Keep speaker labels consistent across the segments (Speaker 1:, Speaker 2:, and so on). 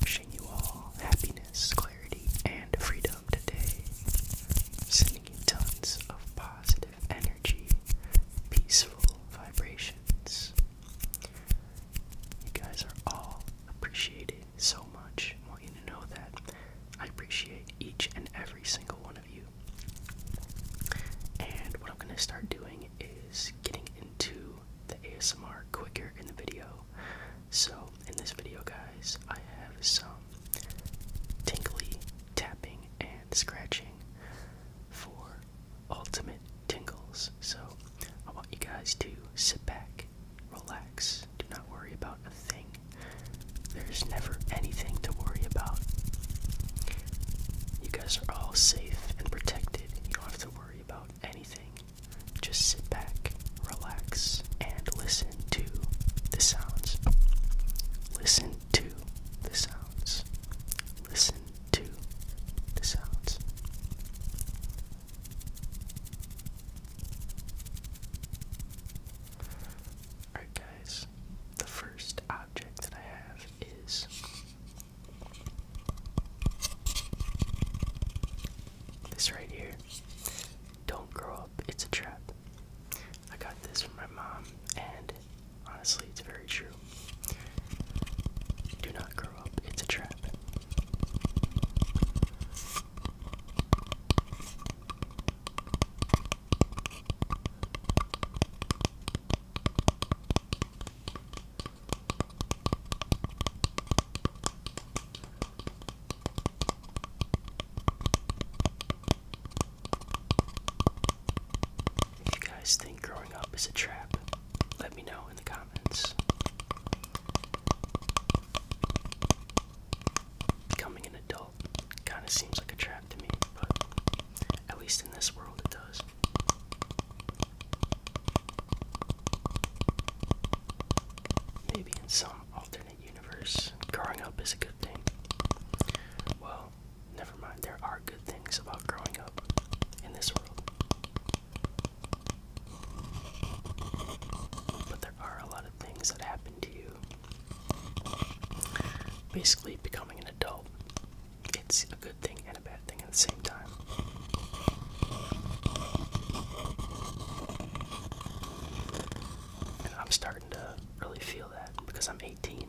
Speaker 1: Wishing you all happiness, clarity, and freedom today. Sending you tons of positive energy, peaceful vibrations. You guys are all appreciated so much. I want you to know that I appreciate each and every single one of you. And what I'm going to start doing is getting into the ASMR quicker in the video. So, in this video, guys, I have some tinkly tapping and scratching for ultimate tingles. So, I want you guys to sit back, relax, do not worry about a thing. There's never anything to worry about. You guys are all safe and protected. You don't have to worry about anything. Just sit back, relax, and listen to the sounds. Listen to the sounds. Listen to the sounds. Alright, guys, the first that I have is this right here. Don't grow up, it's a trap. I got this from my mom, and honestly, it's very true. Do not grow up, it's a trap. If you guys think growing up is a trap, let me know in the comments. Becoming an adult well, kind of seems like a trap to me, but at least in this world it does. Maybe in some alternate universe, growing up is a good thing. Well, never mind, there are good things about growing up in this world. But there are a lot of things that happen to you Basically, becoming an adult. It's a good thing and a bad thing at the same time. I'm starting to really feel that because I'm 18.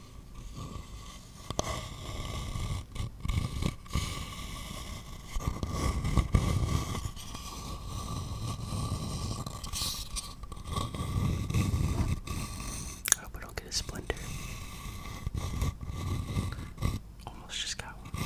Speaker 1: I hope I don't get a splinter. Almost just got one.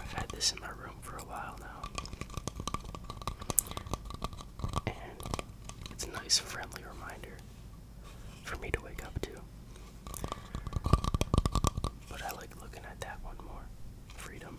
Speaker 1: I've had this in my room for a while now. And it's a nice friendly reminder for me to wake up to. But I like looking at that one more. Freedom.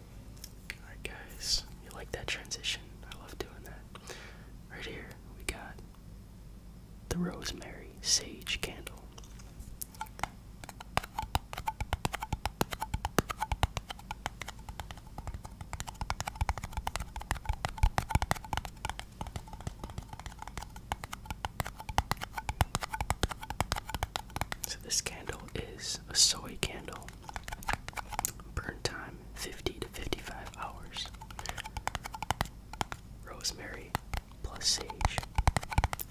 Speaker 1: Alright, guys, you like that transition? I love doing that. Right here, we got the Rosemary Sage Candle. So this candle is a soy candle. Burn time 50 to 55 hours. Rosemary plus sage.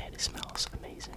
Speaker 1: And it smells amazing.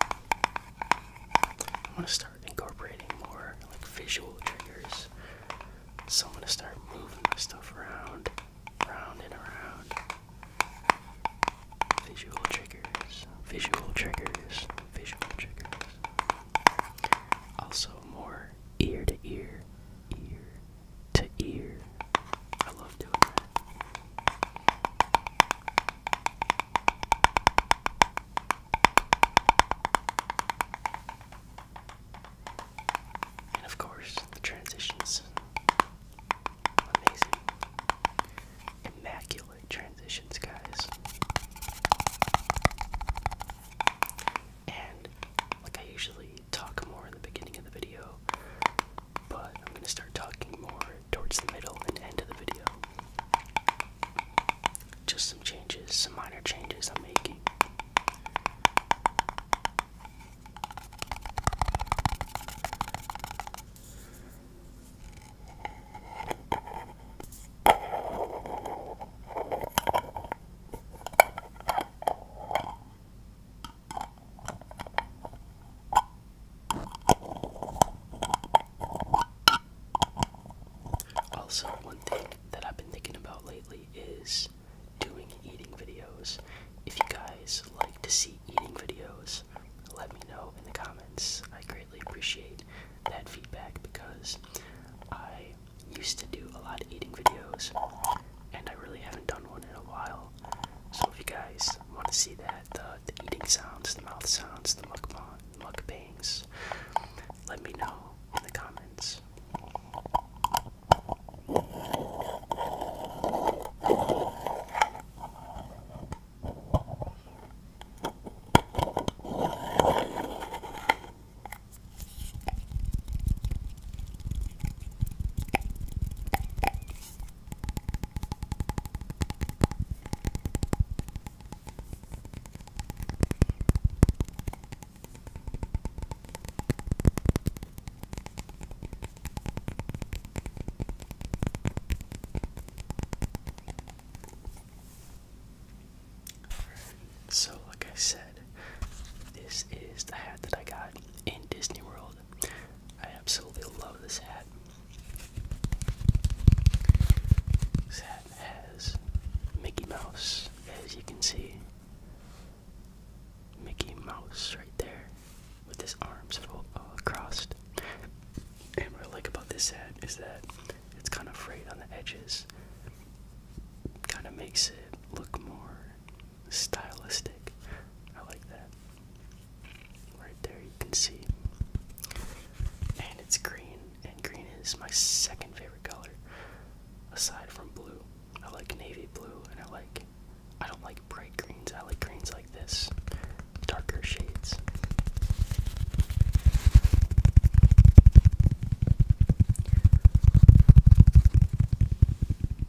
Speaker 1: I want to start incorporating more like visual triggers. So I'm going to start moving my stuff around, around and around. Visual triggers, visual triggers, visual triggers. Also more ear to ear, ear to ear. I love doing that. And of course, the transitions. Amazing. Immaculate transitions, guys. And like I usually talk more in the beginning of the video, but I'm going to start talking more towards the middle and end of the video. Just some changes, some minor changes I'm making. Also, one thing that I've been thinking about lately is doing eating videos. If you guys like to see eating videos, let me know in the comments. I greatly appreciate that feedback because I used to do a lot of eating videos and I really haven't done one in a while. So if you guys I want to see that. The, eating sounds, the mouth sounds, the mukbang, mukbangs. Let me know in the comments. So, like I said, this is the hat that I got in Disney World. I absolutely love this hat. This hat has Mickey Mouse, as you can see. Mickey Mouse right there with his arms all uh, crossed. And what I like about this hat is that it's kind of frayed on the edges. Kind of makes it look more stylistic. I like that. Right there, you can see. And it's green, and green is my second favorite color, aside from blue. I like navy blue, and I like. I don't like bright greens, I like greens like this, darker shades.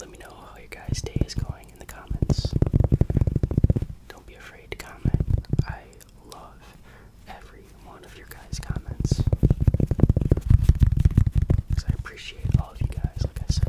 Speaker 1: Let me know how your guys' day is going in the comments. Don't be afraid to comment. I love every one of your guys' comments. Because I appreciate all of you guys, like I said.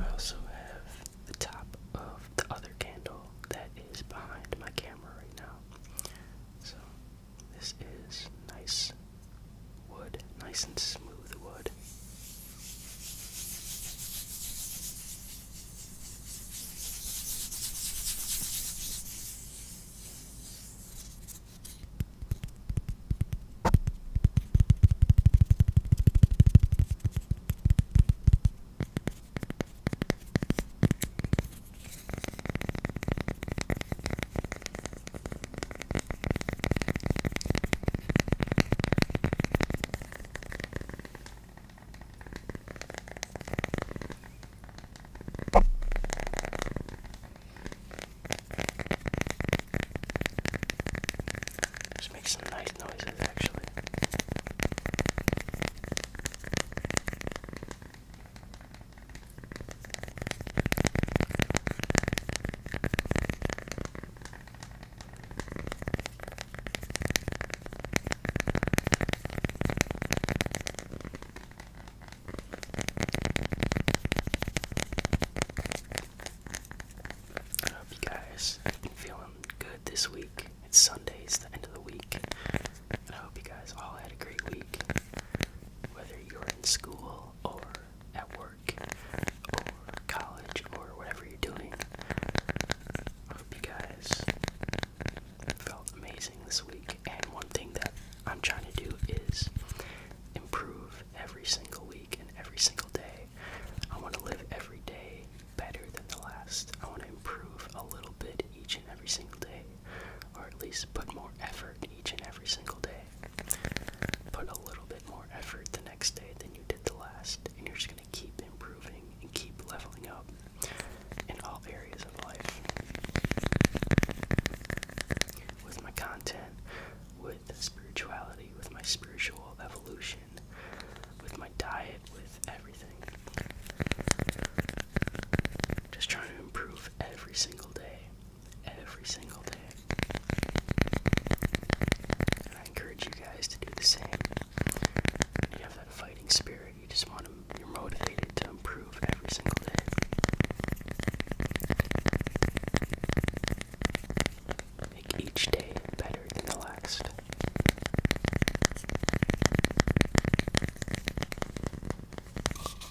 Speaker 1: I also have the top of the other candle that is behind my camera right now. So, this is nice wood, nice and smooth wood. Just make some nice noises actually. I hope you guys have been feeling good this week. It's Sunday, it's the end of the week. And I hope you guys all had a great week. Whether you're in school or at work or college or whatever you're doing. I hope felt amazing this week. And one thing that I'm trying to do is improve every single week and every single day. I want to live every day better than the last. I want to improve a little bit each and every single day, or at least put more effort each and every single day put a little bit more effort the next day than you did the last, and you're just going to keep improving and keep leveling up in all areas of life. With my content, with spirituality, with my spiritual evolution, with my diet, with everything. Just trying to improve every single day every single day. I encourage you guys to do the same. You have that fighting spirit. You just want to, you're motivated to improve every single day. Make each day better and relaxed.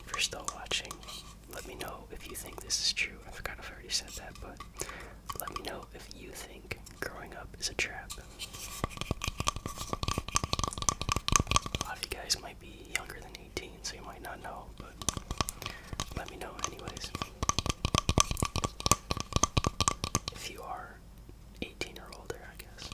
Speaker 1: If you're still watching, let me know if you think this is true. I forgot if I already said that, but let me know if you think growing up is a trap. A lot of you guys might be younger than 18, so you might not know, but let me know, anyways. If you are 18 or older, I guess.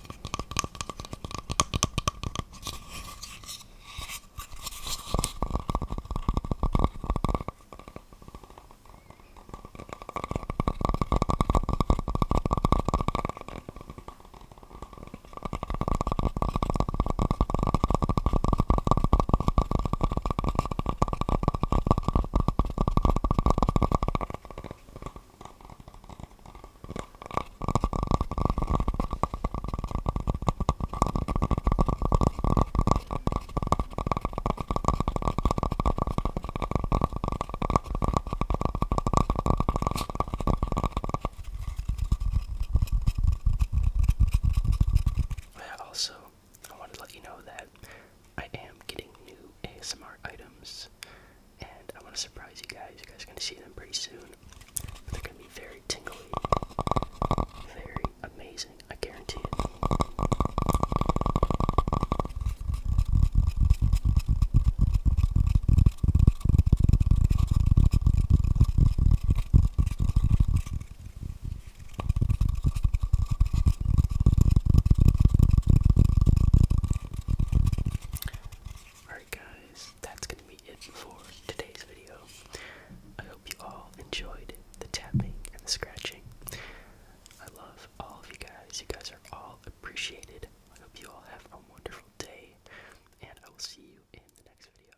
Speaker 1: I also I want to let you know that I am getting new ASMR items, and I want to surprise you guys. You guys are going to see them pretty soon. they're going to be very tingly, very amazing. I guarantee it. Alright, guys, that's gonna be it for today's video. I hope you all enjoyed the tapping and the scratching. I love all of you guys. You guys are all appreciated. I hope you all have a wonderful day, and I will see you in the next video.